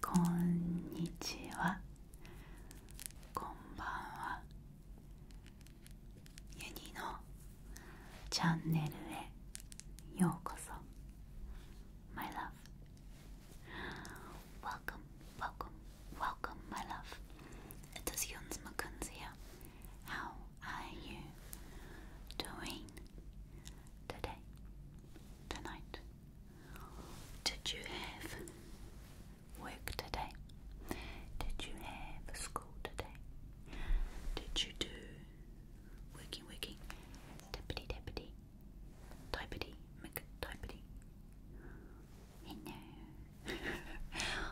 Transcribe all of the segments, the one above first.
こんにちはこんばんはユニのチャンネルへようこそ My love Welcome, welcome, welcome my love It is Yuns Makunz i a How are you doing today, tonight? Did you have work today? Did you have school today? Did you do working, working, tappity tappity, typity, mick, typity? Hello.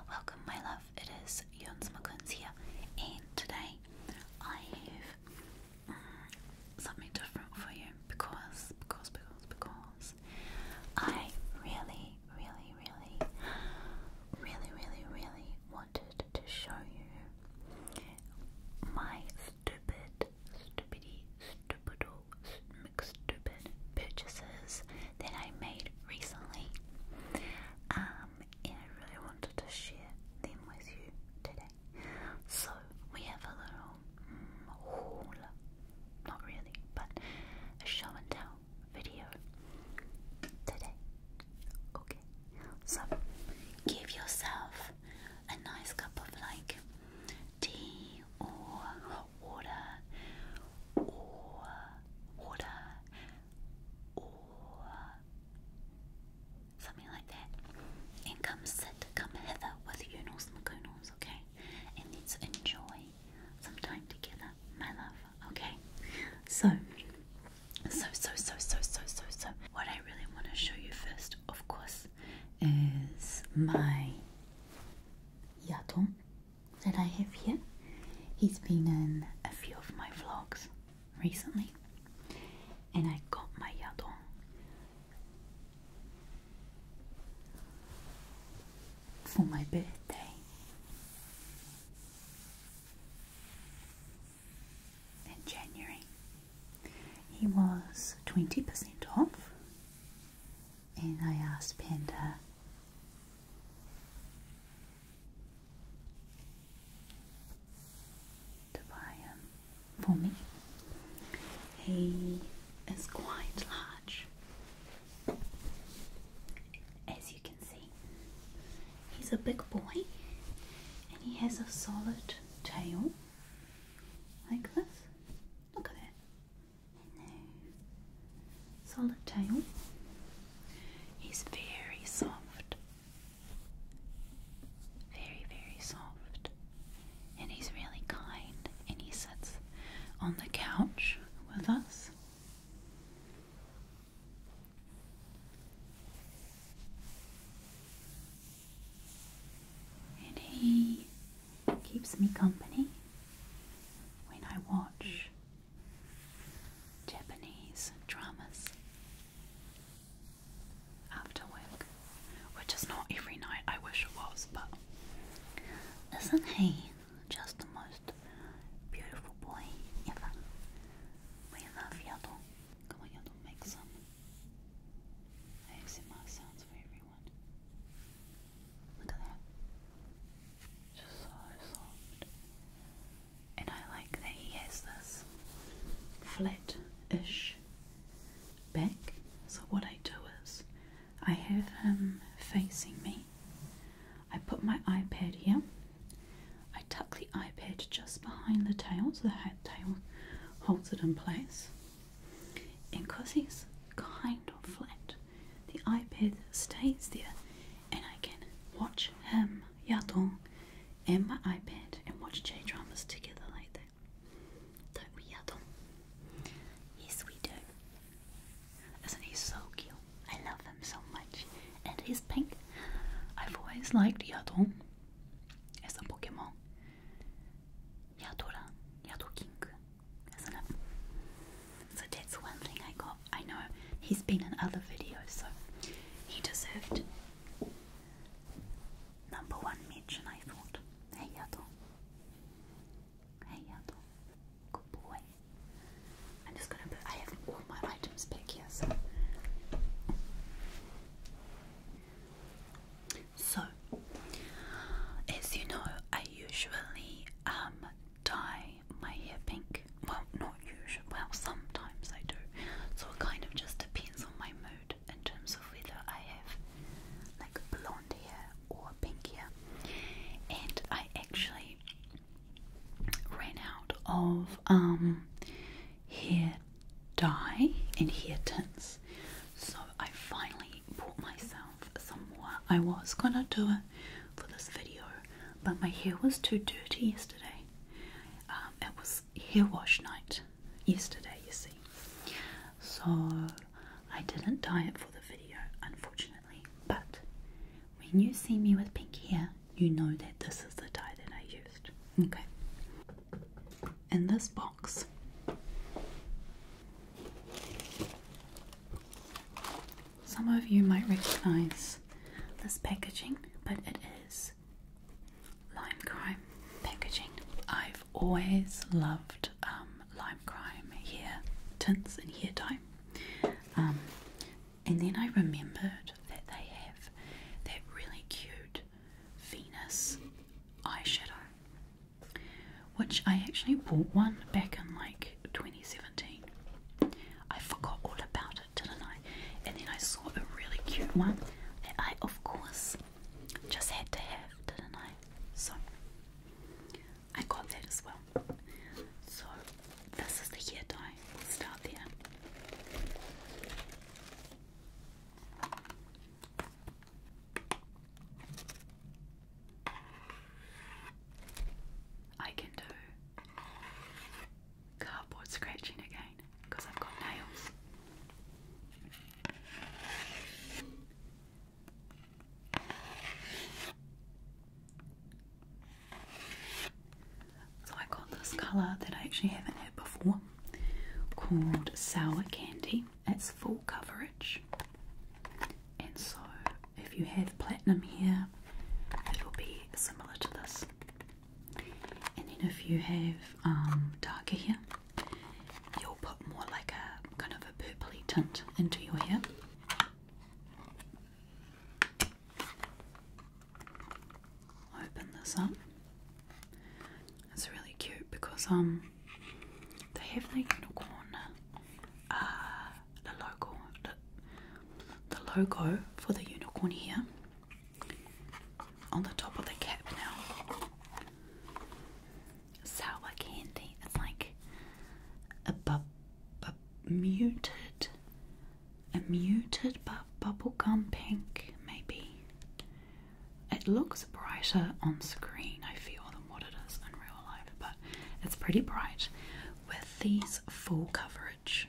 Welcome, my love. It is Jons McClins here, and today I have something different for you because, because, because, because I really, really, really, really, really, really wanted to show you my stupid, stupidy, stupido, stupid purchases that I made recently. Um, and I really wanted to share them with you today. So we have a little mm, not really, but a show and tell video today. Okay, so give yourself a nice cup of like tea or hot water or water or something like that and come sit, come hither with Yunus Magoon okay? And let enjoy some time together, my love, okay? So, so, so, so, so, so, so, so, what I really want to show you first, of course, is my Yato that I have here. He's been in a few of my vlogs recently, and I got my Yato for my birthday. In January, he was 20% off, and I asked Panda to buy him for me. He is quite large, as you can see. He's a big boy and he has a solid tail like this. Look at that. Solid tail. He's very soft. Very, very soft and he's really kind and he sits on the couch with us. And he keeps me company when I watch Japanese dramas after work, which is not every night. I wish it was, but isn't he just the most beautiful boy ever? We love Yaddle. Come on, Yaddle, make some ASMR sounds for everyone. Look at that. Just so soft. And I like that he has this flat ish back. So what I do is I have him facing me. I put my iPad here. I tuck the iPad just behind the tail so the tail holds it in place. And because he's kind of flat, the iPad stays there and I can watch him, yatong and my iPad and watch J dramas together like that. Don't we Adam? Yes we do. Isn't he so cute? I love him so much. And he's pink. I've always liked Yatō. as a Pokemon. Yadora, Yadoking, isn't it? So that's one thing I got. I know he's been in other videos, so he deserved number one mention, I thought. Hey Yadon. Hey, Yandel. Good boy. I'm just gonna put. I have all my items back here, so. So, as you know, I usually um dye my hair pink. Well, not usually. Well, sometimes I do. So it kind of just depends on my mood in terms of whether I have like blonde hair or pink hair. And I actually ran out of um hair dye and hair tints. So I finally bought myself some more. I was gonna do it for this video, but my hair was too dirty yesterday. Um, it was hair wash night yesterday, you see. So I didn't dye it for the video, unfortunately, but when you see me with pink hair, you know that this is the dye that I used. Okay. In this box, some of you might recognize this packaging, but it is lime crime packaging. I've always loved um, Lime Crime hair tints and hair dye. Um, and then I remembered that they have that really cute Venus eyeshadow, which I actually bought one back in like 2017. I forgot all about it, didn't I? And then I saw a really cute one that I, of course, just had to have, didn't I? So I got that as well. So this is the hair dye. We'll start there. I can do cardboard scratching again because I've got nails. So I got this colour that I actually haven't had before called Sour Candy. It's full coverage and so if you have platinum here it will be similar to this and then if you have um, darker here you'll put more like a kind of a purply tint into your hair. Open this up. It's really cute because um they have the unicorn uh, the logo the logo for the unicorn here on the top of the cap now sour candy. It's like a muted, a muted bu bubblegum pink, maybe. It looks brighter on screen, I feel, than what it is in real life, but it's pretty bright with these full coverage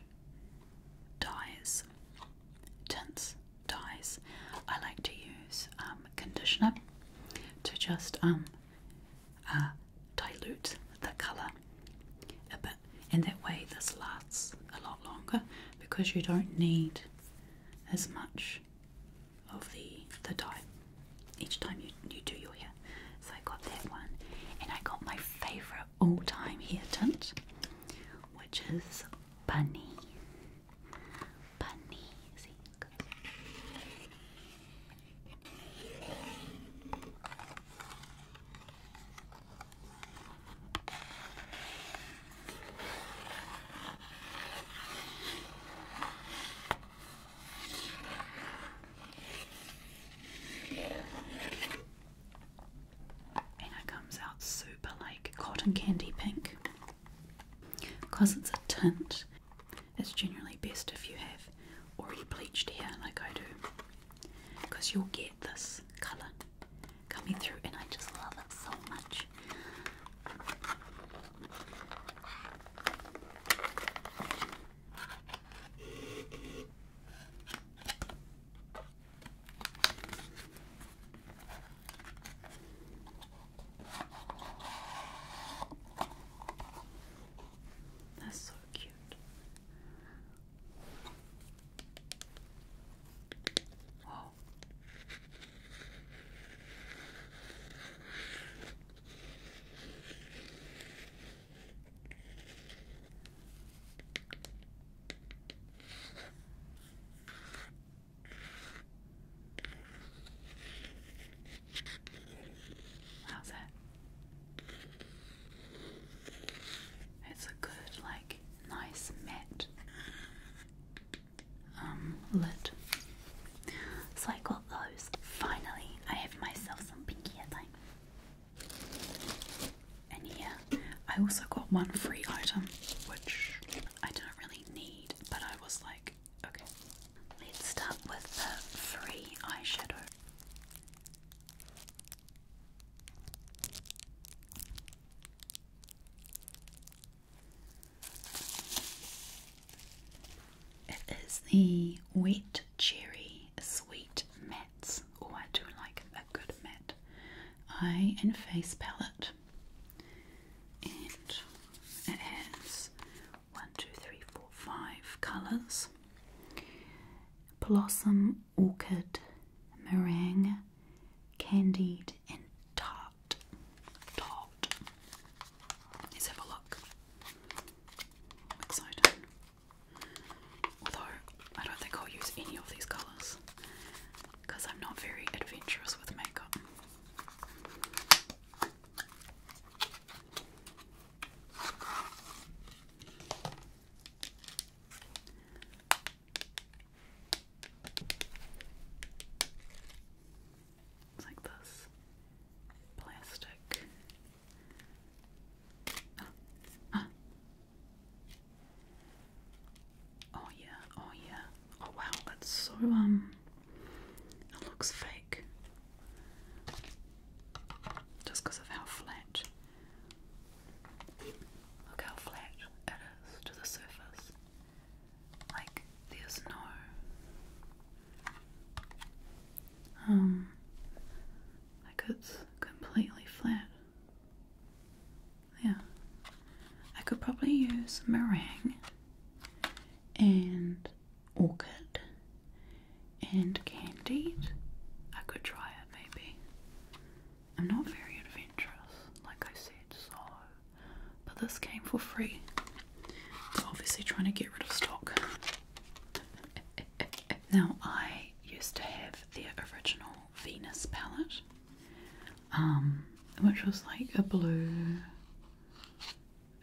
dyes, tints, dyes. I like to use um, conditioner to just um, uh, dilute the colour a bit, and that way this lasts a lot longer because you don't need as much of the the dye each time you, you do your hair. So I got that one, and I got my favourite all-time hair tint, which is bunny bunny. and it comes out super like cotton candy pink. Because it's a tint, it's generally best if you have already bleached hair like I do. Because you'll get this colour coming through and I just love it so much. That's so cute. Wow. How's that? It's a good, like, nice matte um, So I got those. Finally, I have myself some pinky thing. And yeah, I also got one free item, which I didn't really need, but I was like, Okay. Let's start with the free eyeshadow. It is the Wet Cherry Sweet Mattes. Oh, I do like a good matte eye and face palette. And it has one, two, three, four, five colours blossom, orchid, meringue, candied, and tart. Tart. Let's have a look. i Although, I don't think I'll use any of these colours because I'm not very adventurous with makeup. It's like this plastic. oh yeah, oh yeah. Oh wow, that's so um it looks fake just because of how flat. Look how flat it is to the surface. Like there's no um like it's completely flat. Yeah. I could probably use meringue and orchid and candied. I could try it maybe. I'm not very adventurous, like I said, so. But this came for free. they obviously trying to get rid of stock. Now, I used to have the original Venus palette, um, which was like a blue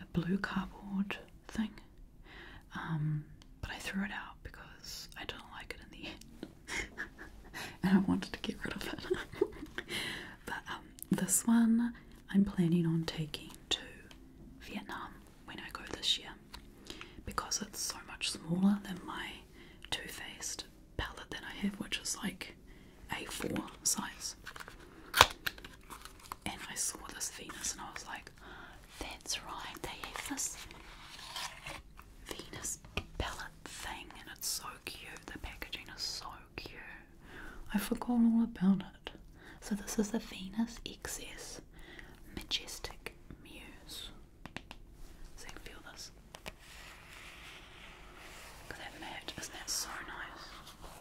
a blue cardboard thing, um, but I threw it out because I didn't like it in the end, and I wanted to get rid of it. but um, this one I'm planning on taking to Vietnam when I go this year because it's so much smaller than my Too Faced palette that I have, which is like a4 size. And I saw this Venus and I was like, that's right, they have this Venus palette thing and it's so cute. The packaging is so cute. I forgot all about it. So this is the Venus XS Majestic Muse. So you can feel this. Look at that not that so nice?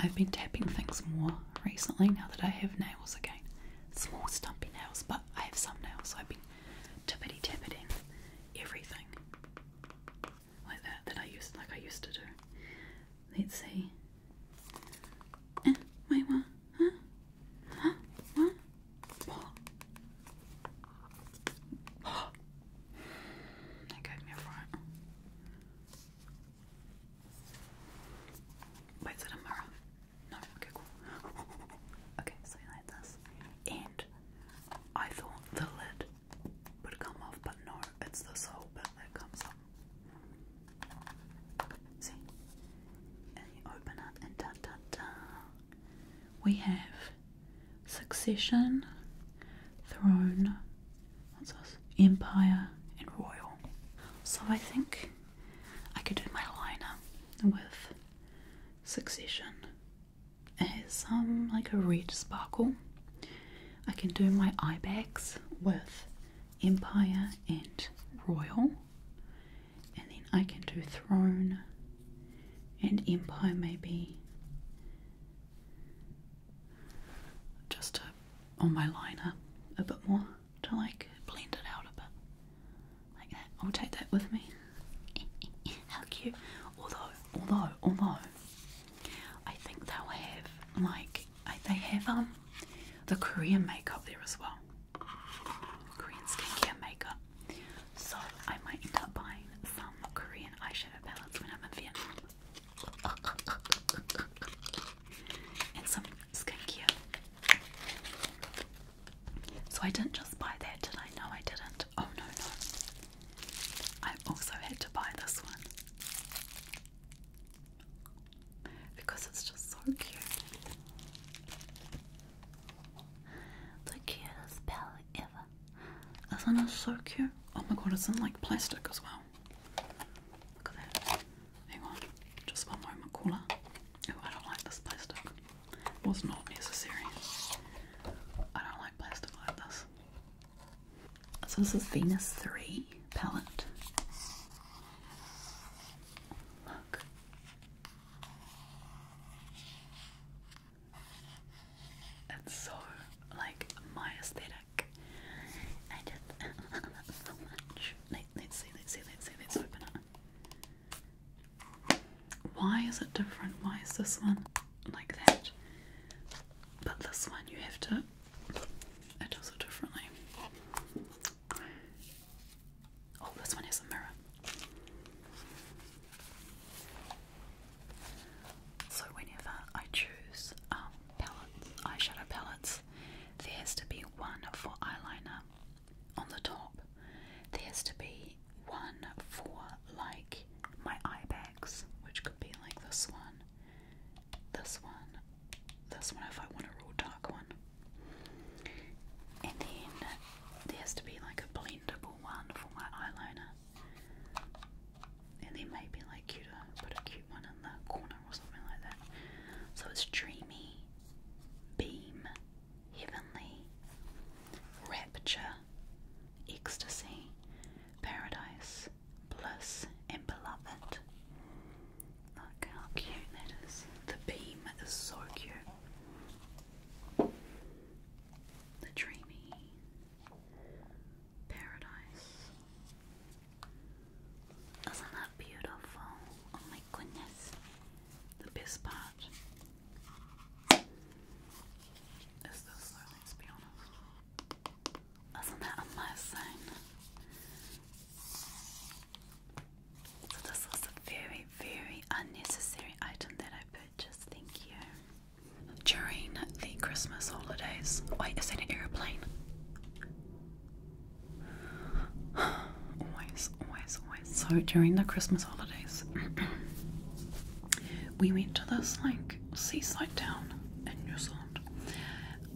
I've been tapping things more recently now that I have nails again. Small stumpy nails, but I have some nails, so I've been tippity tapping everything like that that I used like I used to do. Let's see. Eh, wait, what? Huh? Huh? What? What? that gave me a fright. Wait, it a mirror? No, okay, okay, so like this. And I thought the lid would come off, but no, it's this whole bit that comes up. See? And you open it, and da da da. We have Succession, Throne, what's this? Empire, and Royal. So I think I could do my liner with Succession. It has some um, like a red sparkle. I can do my eye bags with Empire and Royal. And then I can do Throne and Empire maybe just to, on my liner a bit more to like blend it out a bit like that. I'll oh, take that with me. How cute! Although, although, although, I think they'll have like they have um the Korean makeup there as well. Korean skincare makeup. So I might end up buying some Korean eyeshadow shadow palettes when i So I didn't just buy that, did I? No, I didn't. Oh no, no. I also had to buy this one. Because it's just so cute. The cutest palette ever. Isn't it so cute? Oh my god, it's in like plastic as well. Look at that. Hang on, just one moment, cooler. Oh, I don't like this plastic. Was not necessary. I don't like plastic like this. So this is Venus 3 palette. Look. It's so like my aesthetic. I just so much. Let, us see, let's see, let's see, let's open it. Why is it different? Why is this one like that? But this one you have to it does it differently. Oh, this one has a mirror. So whenever I choose um, eyeshadow palettes, there has to be one for eyeliner on the top. There has to be one for like my eye bags, which could be like this one, this one, this one if I want a real dark one. And then there has to be like a blendable one for my eyeliner. And they might be like you put a cute one in the corner or something like that. So it's dreamy, beam, heavenly, rapture, ecstasy, paradise, bliss, and beloved. Look how cute that is. The beam is so The dreamy, paradise. Isn't that beautiful? Oh my goodness. The best part is this, though, let Isn't that amazing? So, this was a very, very unnecessary item that I purchased just think you. During the Christmas holidays. Wait, is that airplane? always, always, always. So during the Christmas holidays, we went to this like seaside town in New Zealand.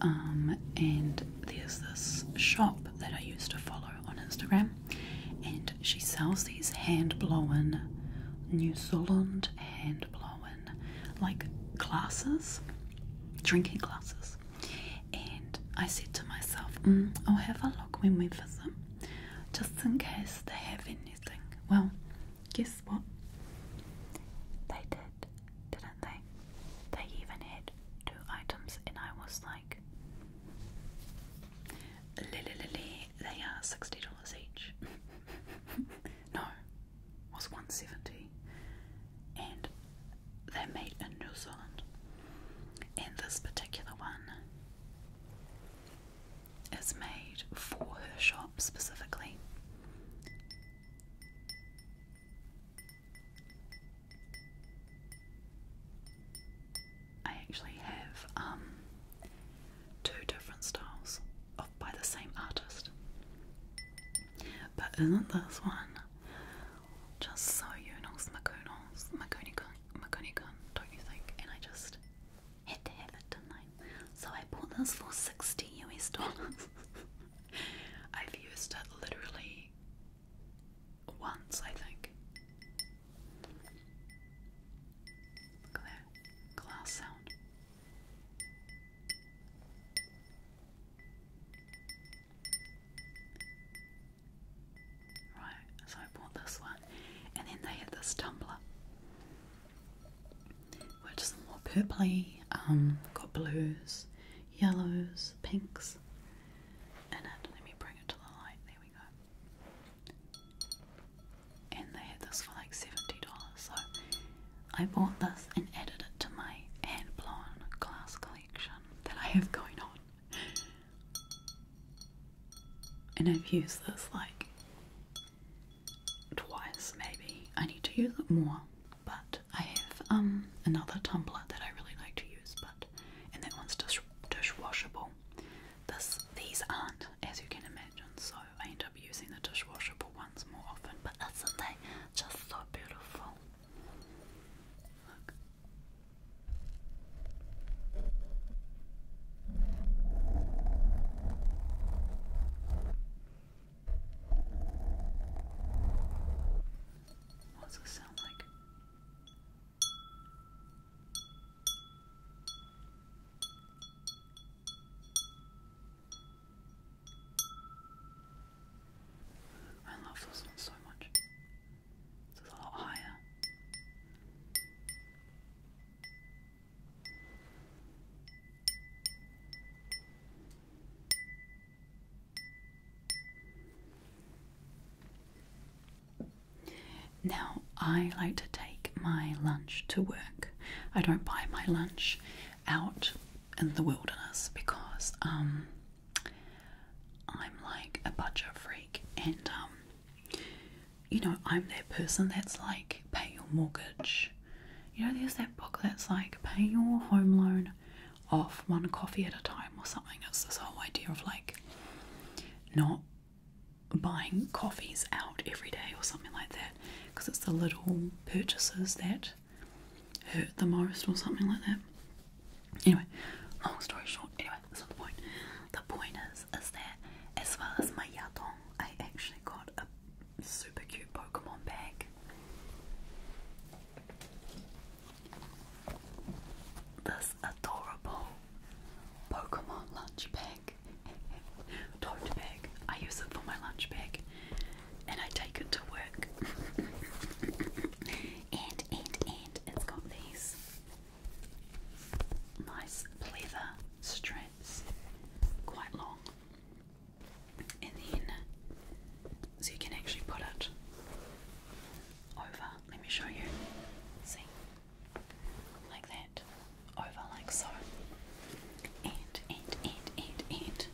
Um, and there's this shop that I used to follow on Instagram, and she sells these hand blown New Zealand hand blown like glasses, drinking glasses, and I said to myself, mm, I'll have a look when we visit, them, just in case they have anything. Well, guess what? They did, didn't they? They even had two items, and I was like, Lily, Lily, they are $60 each. no, was 170 and they're made in New Zealand and this particular one is made for her shop specifically. I actually have um, two different styles by the same artist. But isn't this one just so Yunus Makunos Makunikun, don't you think? And I just had to have it, So I bought this for 60 US dollars. I've used it literally once, I think. Look at that glass sound. Right, so I bought this one, and then they had this tumbler, which is more purply. um, got blues, yellows, pinks in Let me bring it to the light, there we go and they had this for like seventy dollars. So I bought this and added it to my hand blown glass collection that I have going on. And I've used this like twice maybe. I need to use it more, but I have um another tumbler that I really like to use, but and that one's dish dishwashable. This these aren't, as you can imagine, so I end up using the dishwashable ones more often, but isn't they just so beautiful? Look. What's this sound like? I love this one so much. This a lot higher. Now, I like to take my lunch to work. I don't buy my lunch out in the wilderness because um, I'm like a budget freak and um, you know, I'm that person that's like, pay your mortgage. You know, there's that book that's like, pay your home loan off one coffee at a time or something. It's this whole idea of like not buying coffees out every day or something like that because it's the little purchases that hurt the most or something like that. Anyway, long story short, anyway, that's not the point. The point is, is that as well as my yatong, I actually got a super cute Pokemon bag. This adorable Pokemon lunch bag tote bag. I use it for my lunch bag, and I take it to work. and and and it's got these nice leather straps, quite long, and then so you can actually put it over. Let me show you. See, like that over like so. And, and, and, and, and.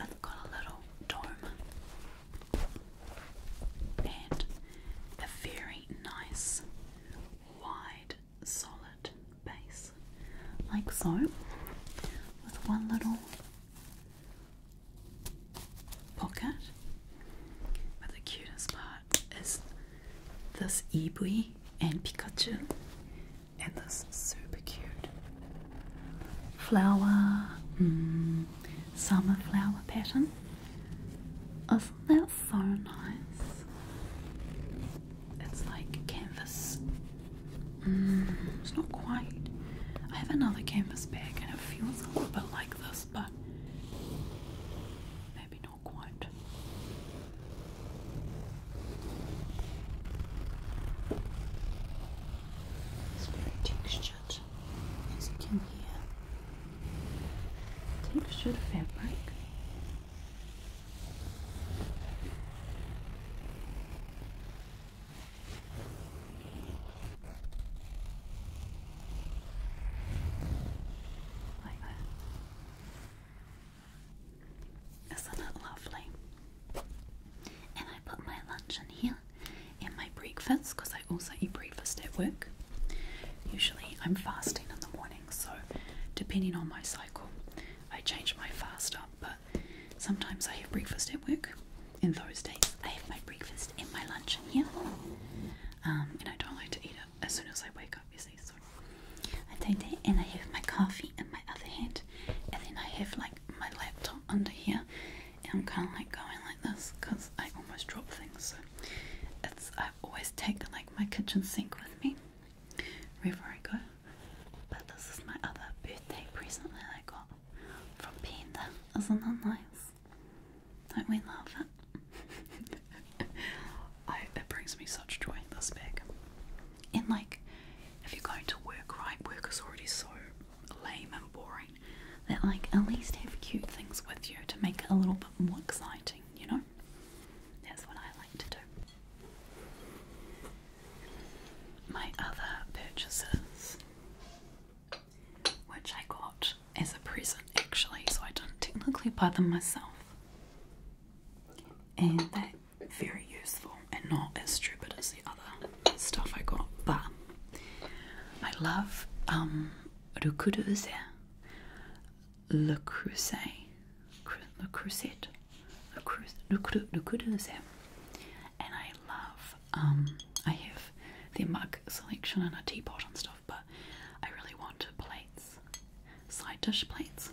I've got a little dome. And a very nice, wide, solid base. Like so. With one little pocket. But the cutest part is this Eevee and Pikachu and this super cute flower mm, summer flower pattern isn't that so nice it's like canvas mm, it's not quite I have another canvas bag and it feels a little bit like this but maybe not quite it's very textured, as you can Textured fabric. Like that. Isn't it lovely? And I put my lunch in here and my breakfast because I also eat breakfast at work. Usually I'm fasting in the morning, so depending on my cycle, I change my fast up. But sometimes I have breakfast at work. In those days, I have my breakfast in my lunch in here. Um, and I don't like to eat it as soon as I wake up, you I take it, and I have my coffee in my other hand, and then I have like my laptop under here, and I'm kind of like going like this because I almost drop things. So it's I always take like my kitchen sink with me wherever I go. But this is my other birthday present that I got from Panda. Isn't that nice? Don't we love it? I, oh, it brings me such joy, this bag. And like, if you're going to work, right, work is already so lame and boring that like at least have cute things with you to make it a little bit more exciting, you know? That's what I like to do. My other purchases, which I got as a present actually, so I do not technically buy them myself, and that very useful and not as stupid as the other stuff I got. But I love um, Le Creuset, Le Creuset, Le Creuset, Le Creuset, and I love. I have their mug selection and a teapot and stuff, but I really want plates, side dish plates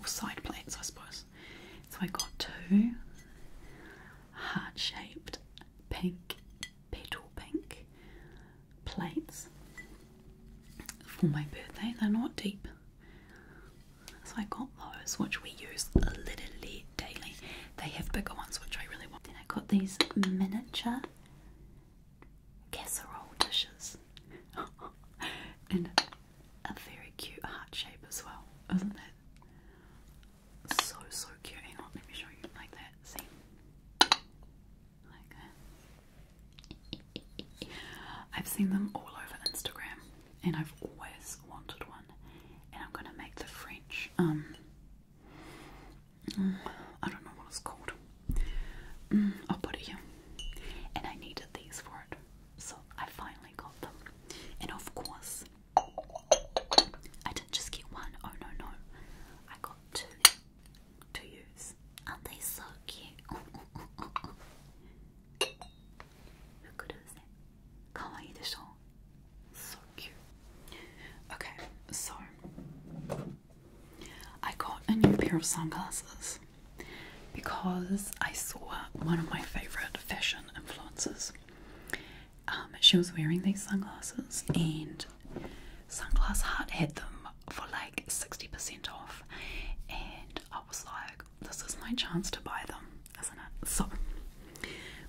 or side plates, I suppose. So I got two heart shaped pink, petal pink plates for my birthday. They're not deep. So I got those, which we use literally daily. They have bigger ones, which I really want. Then I got these miniature casserole dishes. and a very cute heart shape as well, isn't it? So so cute. let me show you like that. See, like that. I've seen them all over Instagram, and I've always wanted one. And I'm gonna make the French. Um, mm, I don't know what it's called. Mm, I'll put it here. And I needed these for it. So I finally got them. And of course, I didn't just get one. Oh no, no. I got two to use. Aren't they so cute? Look at this. Kawaii desho. So cute. Okay, so I got a new pair of sunglasses because I saw one of my favorite fashion influencers. Um, she was wearing these sunglasses, and Sunglass Hut had them for like 60% off, and I was like, this is my chance to buy them, isn't it? So,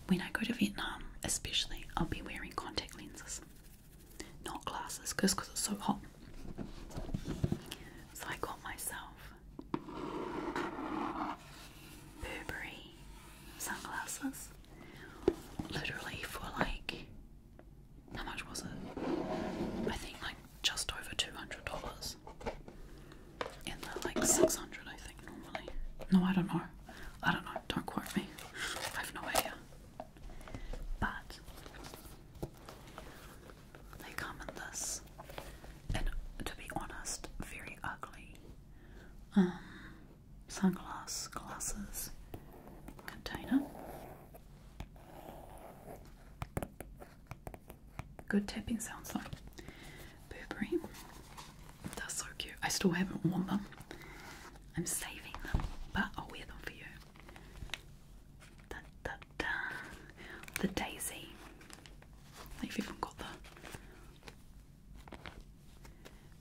when I go to Vietnam, especially, I'll be wearing contact lenses, not glasses, because it's so hot. So, I got myself Burberry sunglasses. Literally for like how much was it? I think like just over two hundred dollars. And they like six hundred I think normally. No, I don't know. I don't know, don't quote me. I've no idea. But they come in this, and to be honest, very ugly um, sunglass glasses container. Good tapping sounds like. Burberry. They're so cute. I still haven't worn them. I'm saving them, but I'll wear them for you. Da, da, da. The daisy. They've even got the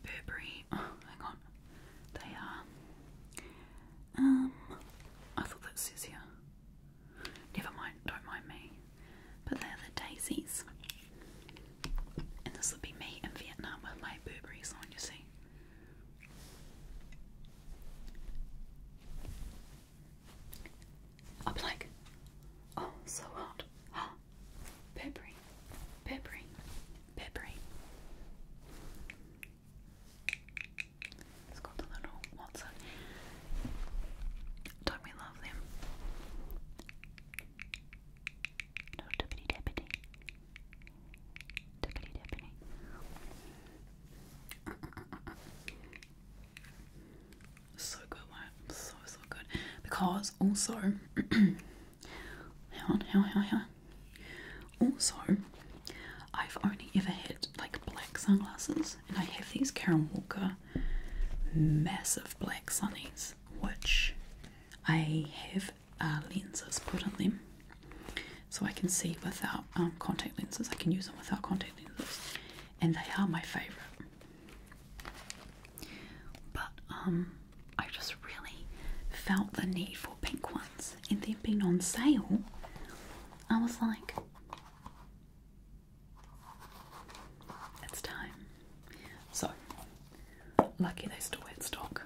Burberry. Oh, hang on. They are. Um, I thought that says here. Never mind, don't mind me. But they're the daisies. And this would be me in Vietnam with my Burberry's on, you see. I'll be like, oh, so hot. Huh? Peppery, peppery, peppery. It's got the little Watson. do we love them? No dippity dippity. Dippity dippity. So good, So so good. Because also hang on, hang on, hang Also, I've only ever had like black sunglasses, and I have these Karen Walker massive black sunnies, which I have uh, lenses put on them, so I can see without um, contact lenses. I can use them without contact lenses, and they are my favorite. But um, I just really felt the need for pink ones, and them being on sale, I was like, it's time. So, lucky they still had stock,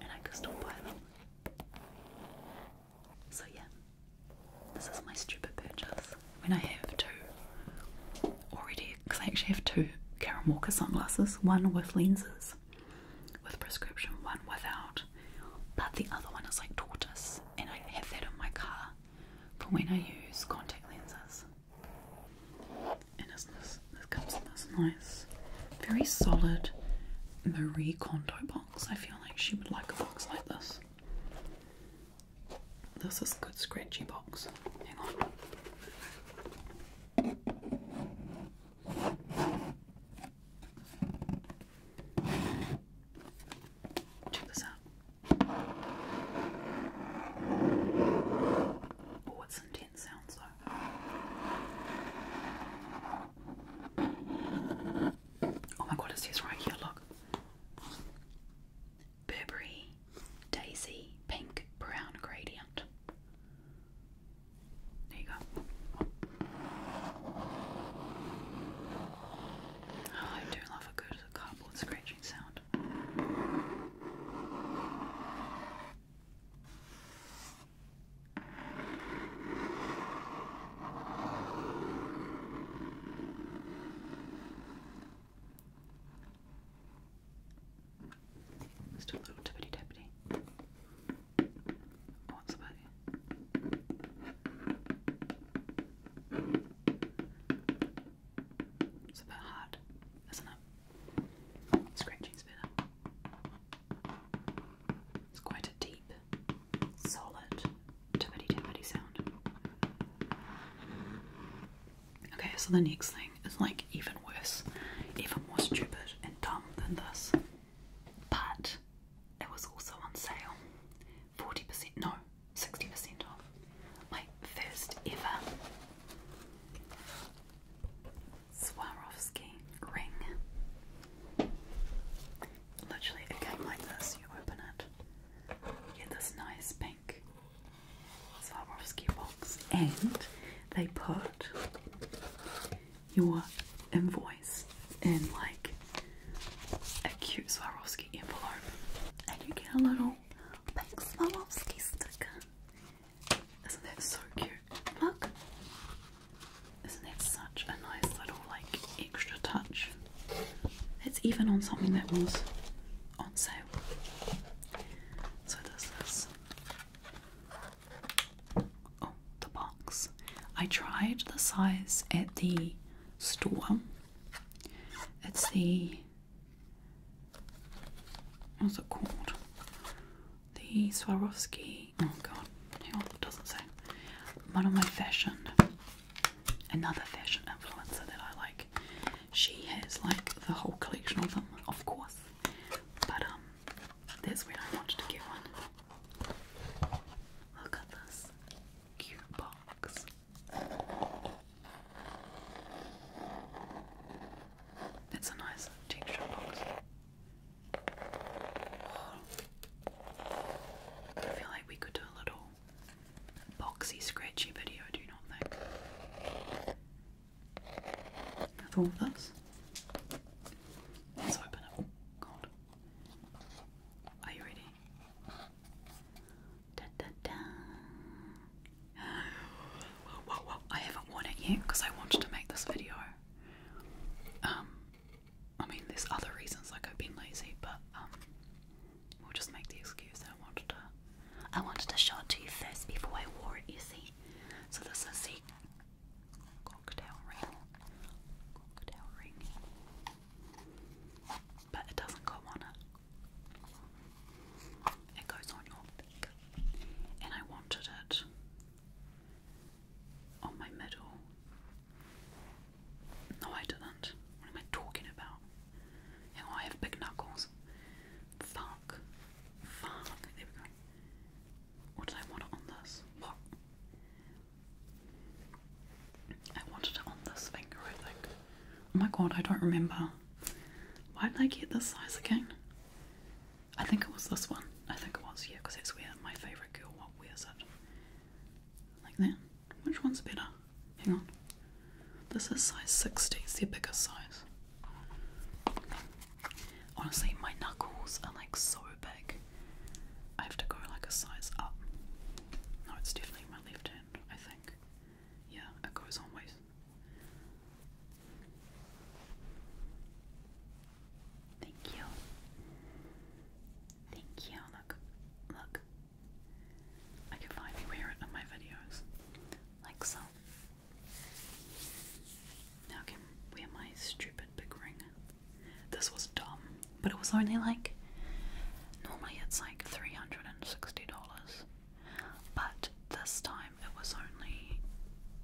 and I could still buy them. So yeah, this is my stupid purchase. When I have two already, because I actually have two Karen Walker sunglasses, one with lenses, with prescription, one without. But the other one is like tortoise, and I have that in my car for when I use contact lenses. And this, this comes in this nice, very solid Marie Kondo box. I feel like she would like a box like this. This is a good scratchy box. Hang on. Check this out. Oh, it's intense sounds though. Oh my god, it says right here, look. Burberry, Daisy, Pink, Brown Gradient. There you go. Oh, I do love a good cardboard scratching sound. Just a little tippity tappity. What's about It's a bit hard, isn't it? Scratching's better. It's quite a deep solid tippity tippity sound. Okay, so the next thing is like even worse, even more stupid and dumb than this. But it was also on sale. 40%, no, 60% off. My first ever Swarovski ring. Literally a game like this, you open it, get this nice pink Swarovski box, and they put your invoice in like a cute Swarovski envelope, and you get a little Swarovski sticker. Isn't that so cute? Look, isn't that so a nice little like extra touch. It's even on something that was on sale. So this oh the box. I tried the size at the store. It's the what's it called? The Swarovski. Oh god, hang on, it doesn't say. One my fashioned another fashion influencer that I like. She has like the whole collection of them, of course. But um that's when I wanted to get one. Look at this cute box. That's a nice texture box. Oh. I feel like we could do a little boxy, scratchy video, I do not think. With all this, let's open it. God. Are you ready? Whoa, whoa, whoa. I haven't worn it yet because I wanted to make this video. Um, I mean, there's other reasons like I've been lazy, but um, we'll just make the excuse that I wanted to. I wanted to show to you first before I wore it. You see, so this is the cocktail ring. Cocktail ring, but it doesn't go on it. It goes on your finger, and I wanted it on my middle no, I didn't. What am I talking about? Yeah, I have big knuckles. Fuck. Fuck. There we go. What did I want on this? What? I wanted it on this finger, I think. Oh my god, I don't remember. Why did I get this size again? I think it was this one. I think it was, yeah, because it's weird. my favourite girl wears it. Like that. Which one's better? Hang on. This is size 60, it's the bigger size. Honestly, my knuckles are like so big. I have to go like a size up. No, it's definitely my left hand, I think. Yeah, it goes on ways. Thank you. Thank you. Look, look, I can finally wear it on my videos, like so. Now can wear my stupid big ring. This was dumb, but it was only like normally it's like three hundred and sixty dollars, but this time it was only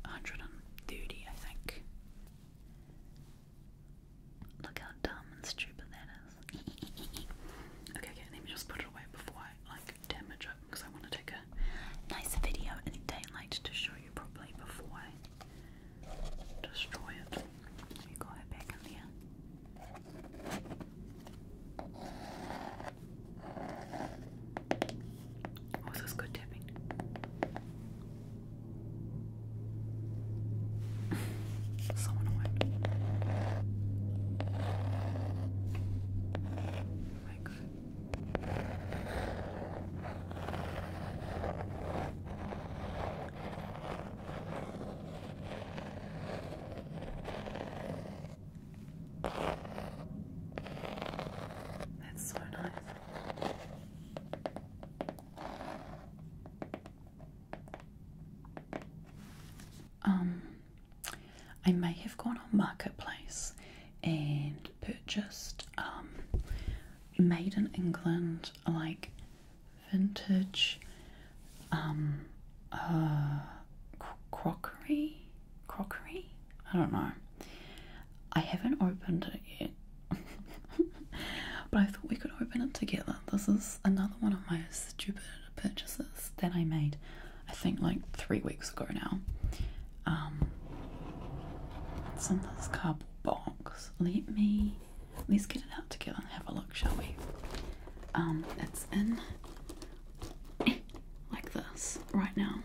130 I think. Look how dumb and stupid that is. okay, okay, let me just put it away before I like damage it because I want to take a nice video in daylight to show you properly before I destroy it. You got it back in there. Oh, good tapping? so annoying. Oh my god. That's so nice. Um, I may have gone on Marketplace and purchased um, made in England, like vintage um, uh, crockery. Crockery? I don't know. I haven't opened it yet. but I thought we could open it together. This is another one of my stupid purchases that I made, I think like three weeks ago now. Um, it's in this cardboard box. Let me, let's get it out together and have a look, shall we? Um, it's in like this right now.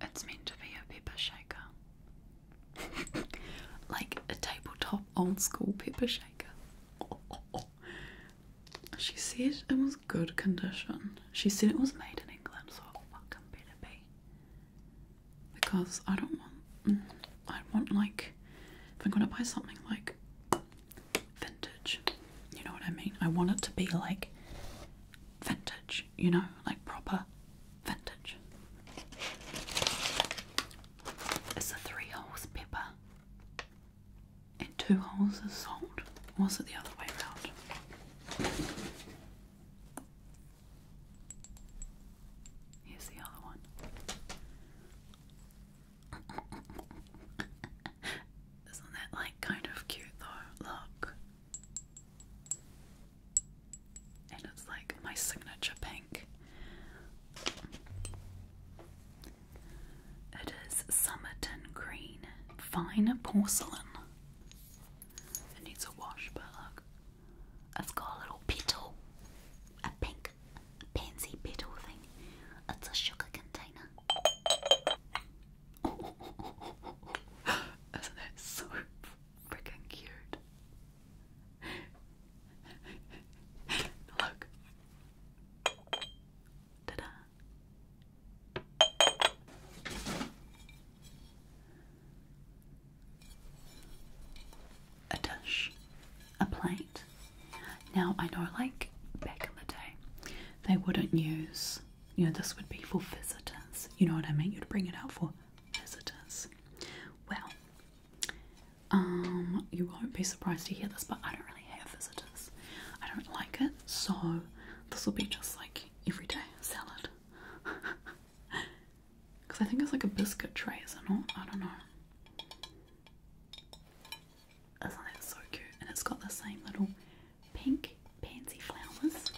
It's meant to be a pepper shaker. like a tabletop old school pepper shaker. She said it was good condition. She said it was made in England, so what can better be? Because I don't want. Mm, I want like if I'm gonna buy something like vintage. You know what I mean? I want it to be like vintage, you know, like proper vintage. It's a three holes pepper and two holes of salt. was it the other way around? Here's the other one. Isn't that like kind of cute though? Look. And it's like my signature pink. It is Summerton Green. Fine porcelain. It needs a wash, but look. It's got a little petal. A pink pansy petal thing. It's a sugar container. Isn't that so freaking cute? Look. Ta-da a dish, a plate. Now I know, like back in the day, they wouldn't use. You know, this would be for visitors. You know what I mean? You'd bring it out for visitors. Well, um, you won't be surprised to hear this, but I don't really have visitors. I don't like it, so this will be just like everyday salad. Because I think it's like a biscuit tray, is it not? I don't know. Isn't that so cute? And it's got the same little pink pansy flowers.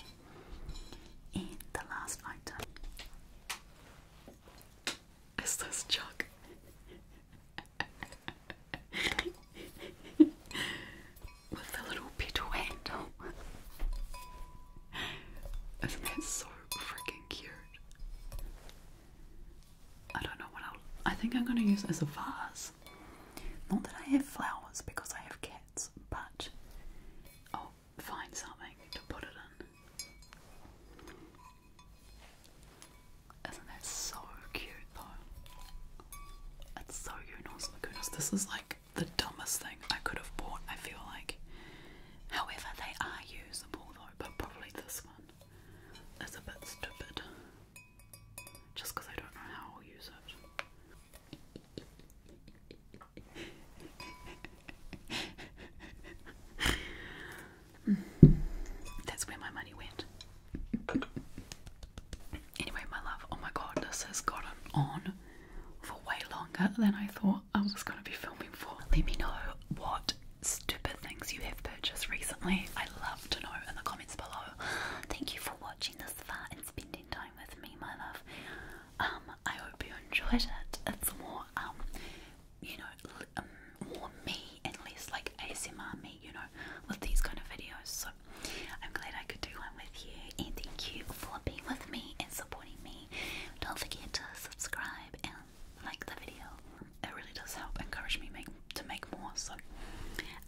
And the last item is this jug. With the little petal handle. Isn't that so freaking cute? I don't know what I'll. I think I'm going to use as a vase. Not that I have flowers because I have cats, but i find something to put it in. Isn't that so cute though? It's so Unos oh Lagunas. This is like the dumbest thing I could have bought, I feel like. However, they are usable though, but probably this one. That's a bit stupid. Just because I don't know how I'll use it. That's where my money went. Anyway, my love, oh my god, this has gotten on for way longer than I thought I was going to be filming for. Let me know what stupid things you have purchased recently. I love to know in the comments below. Thank you for watching this far and spending time with me, my love. Um, I hope you enjoyed it. It's more, um, you know, um, more me and less like ASMR me, you know, with these kind of videos. So I'm glad I could do one with you, and thank you for being with me and supporting me. Don't forget to subscribe and like the video. It really does help encourage me to make more. So,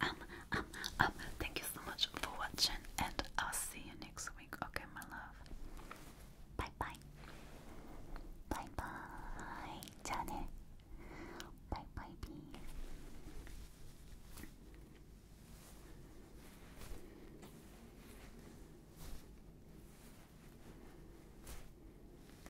um, um, um, thank you so much for watching, and I'll see you next week. Okay, my love. Bye bye. Bye bye. Janet. Bye bye, bee.